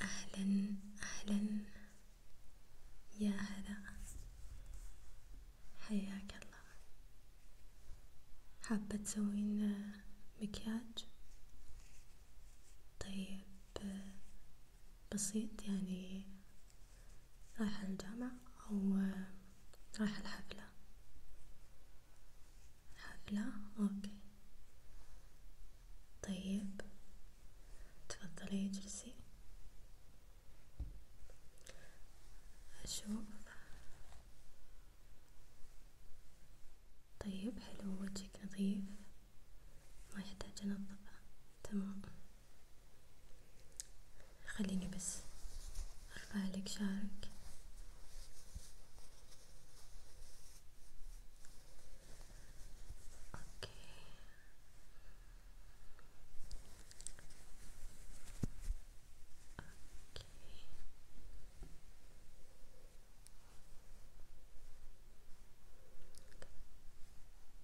أهلا أهلا يا هلا حياك الله حابة تسوين مكياج طيب بسيط يعني رايحة الجامعة أو رايحة الحفلة حفلة أوكي طيب تفضلي اجلسي أشوف طيب حلو وجهك نظيف ما يحتاج أنظفه تمام خليني بس أرفع لك شعرك اوكي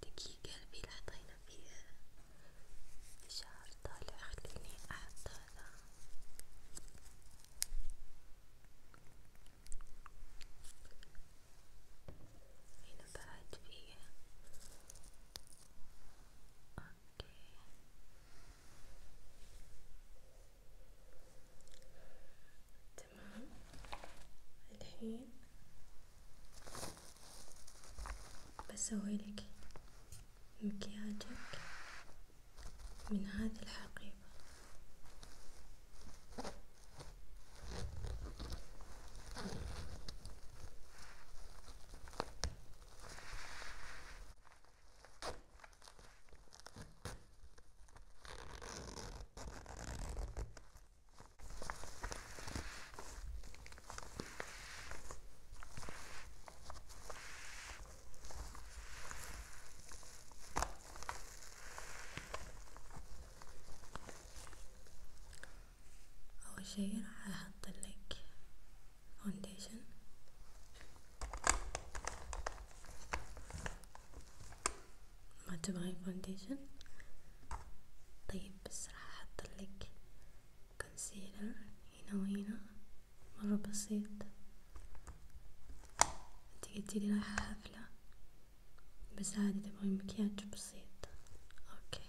اوكي قلبي لا حطينا فيه شعر طالع خليني احط هذا هنا بعد فيه اوكي تمام الحين بسوي لك مكياجك من هذه الحقيبة أول شي راح أحط لك ما تبغين فاونديشن طيب بس راح أحط لك كونسيلر هنا وهنا مرة بسيط انتي قلتيلي رايحة حفلة بس عادي تبغي مكياج بسيط اوكي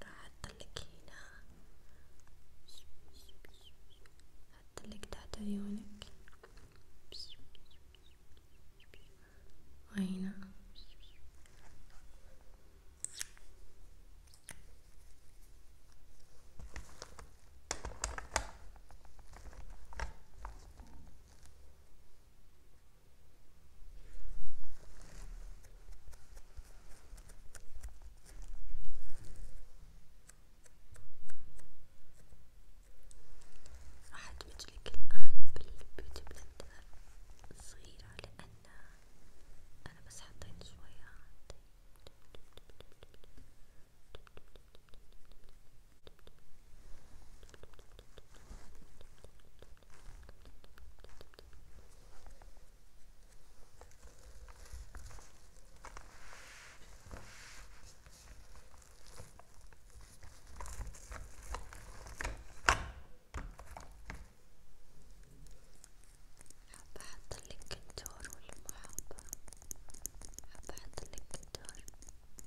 راح أحطلك هنا أحطلك تحت عيونك وهنا راح أدمجلك الآن بالبيوتي بلندر صغيرة لأن أنا بس حطيت شوية حابة أحطلك الدور والمحاضرة حابة أحطلك الدور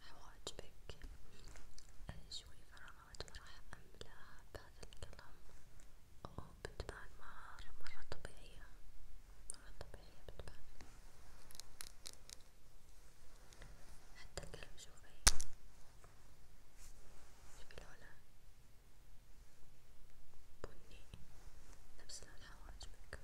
حواجبك شوي فراغات راح أملاها بهذا القلم وبتبان مرة مرة طبيعية مرة طبيعية بتبان حتى القلم شوفي شوفي لونه بني نفس لون حواجبك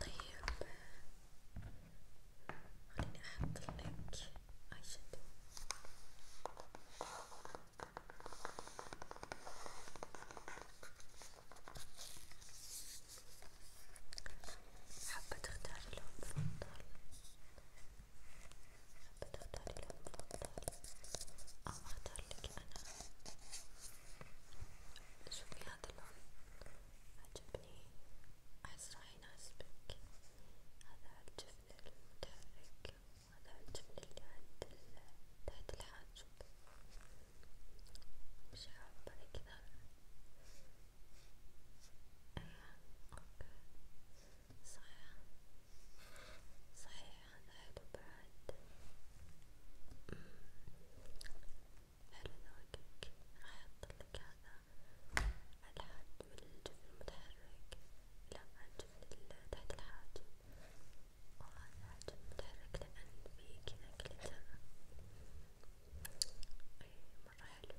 طيب خليني أحط لك آي شادو حابة تختاري لون مفضل حابة تختاري لون مفضل أو اختارلك أنا شوفي هذا اللون عجبني أحس راح يناسبك هذا عالجفن المتحرك وهذا عالجفن اللي عند تحت الحاجب مش حابة أنا كذا أيه. اوكي صحيح صحيح هذا حلو بعد حلو ذوقك راح أحطلك هذا على الحد من الجفن المتحرك لا على الجفن تحت الحاجب وهذا على الجفن المتحرك لأن فيه كذا كلتر أي مرة حلو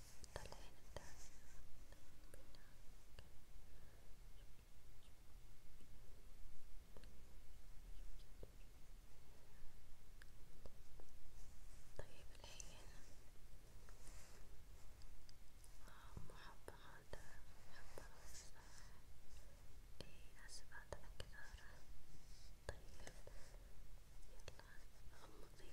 طلعين طيب الحين محب هذا محب هذا اي اسف هذا كثر طيب يلا غمضي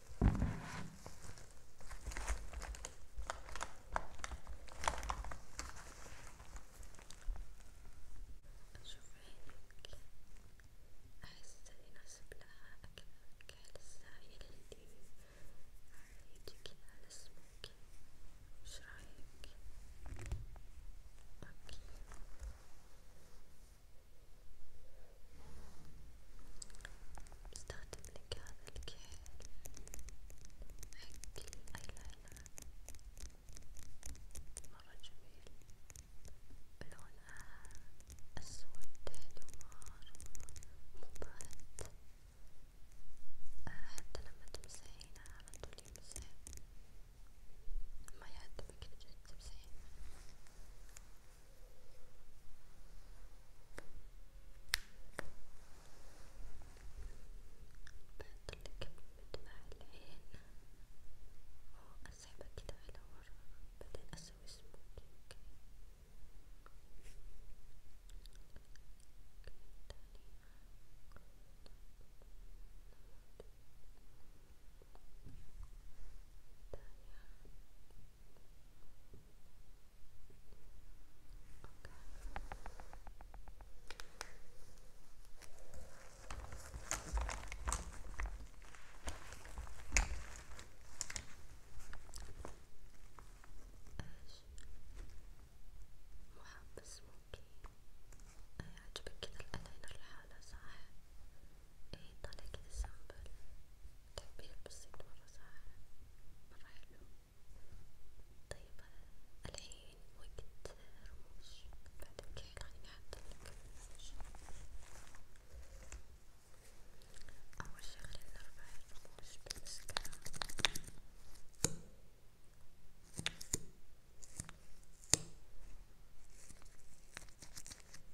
أشوف عينك أحس يناسب لها أكثر كحل السائل اللي يجي كذا على سموكي وش رأيك؟ أوكي بستخدم لك هذا الكحل حق الأيلاينر مرة جميل لونها أسود حلو مبهت حتى لما تمسحينها على طول يمسح ما يعذبك تجي تمسحينها بحطلك مدمع العين وأسحبه كده على ورا بعدين أسوي سموكينج تانية محب سموكي عجبك كذا الايلاينر لحاله صح؟ ايه طالع كذا سمبل تعبير طيب، بسيط مرة صح مرة حلو طيب الحين وقت رموش بعد الكحل خليني أحطلك رموش أول شي خلينا نربع الرموش بالمسكرة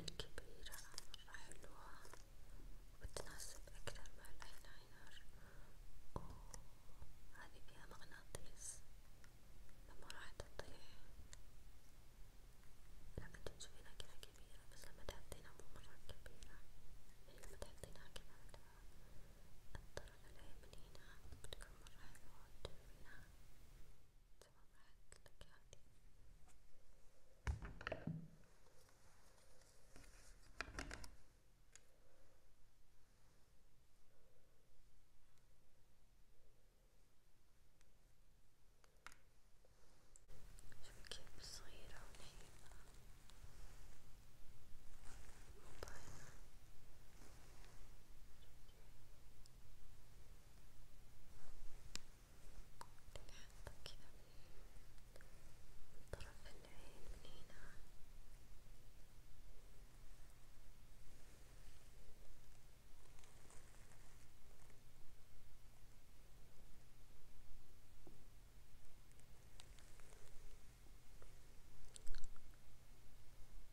الكبيرة مرة حلوة وتناسب أكثر مع الأي لاينر وهذي فيها مغناطيس فما راح تطيح لما تشوفينها كذا كبيرة بس لما تحطينها مو مرة كبيرة يعني لما تحطينها كذا على الطرف الأيمن هنا بتكون مرة حلوة تشوفينها. شوفي كيف صغيرة ولينة مبينة نحطه كذا من طرف العين من هنا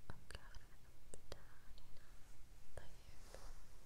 أبقى على طيب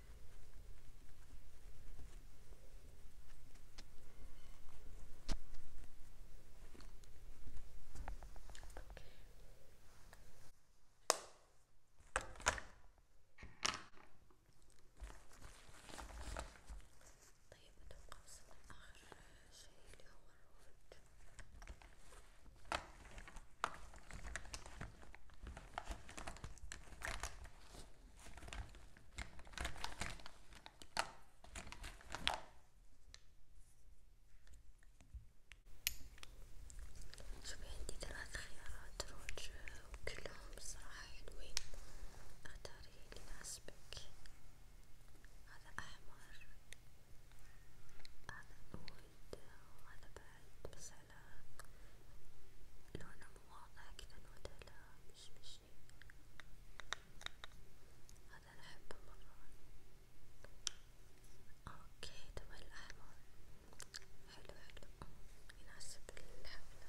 طيب اتوقع وصلنا لآخر شي اللي هو الروج شوفي عندي ثلاث خيارات روج وكلهم بصراحة حلوين اختاري اللي يناسبك هذا أحمر هذا أود وهذا بعد بس على لونه مو واضح كذا نوته لا مشمشي هذا أنا أحبه مرة اوكي تبغى الأحمر حلو حلو يناسب الحفلة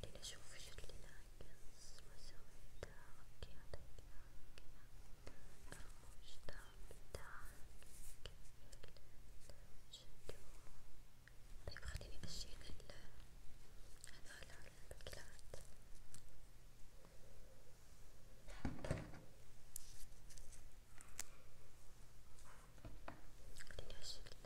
خليني اشوف ايش اللي ناقص ما سويته اوكي هذا كذا كذا رموش داون داون شدو طيب خليني اشيل هذولا البكلات خليني اشيل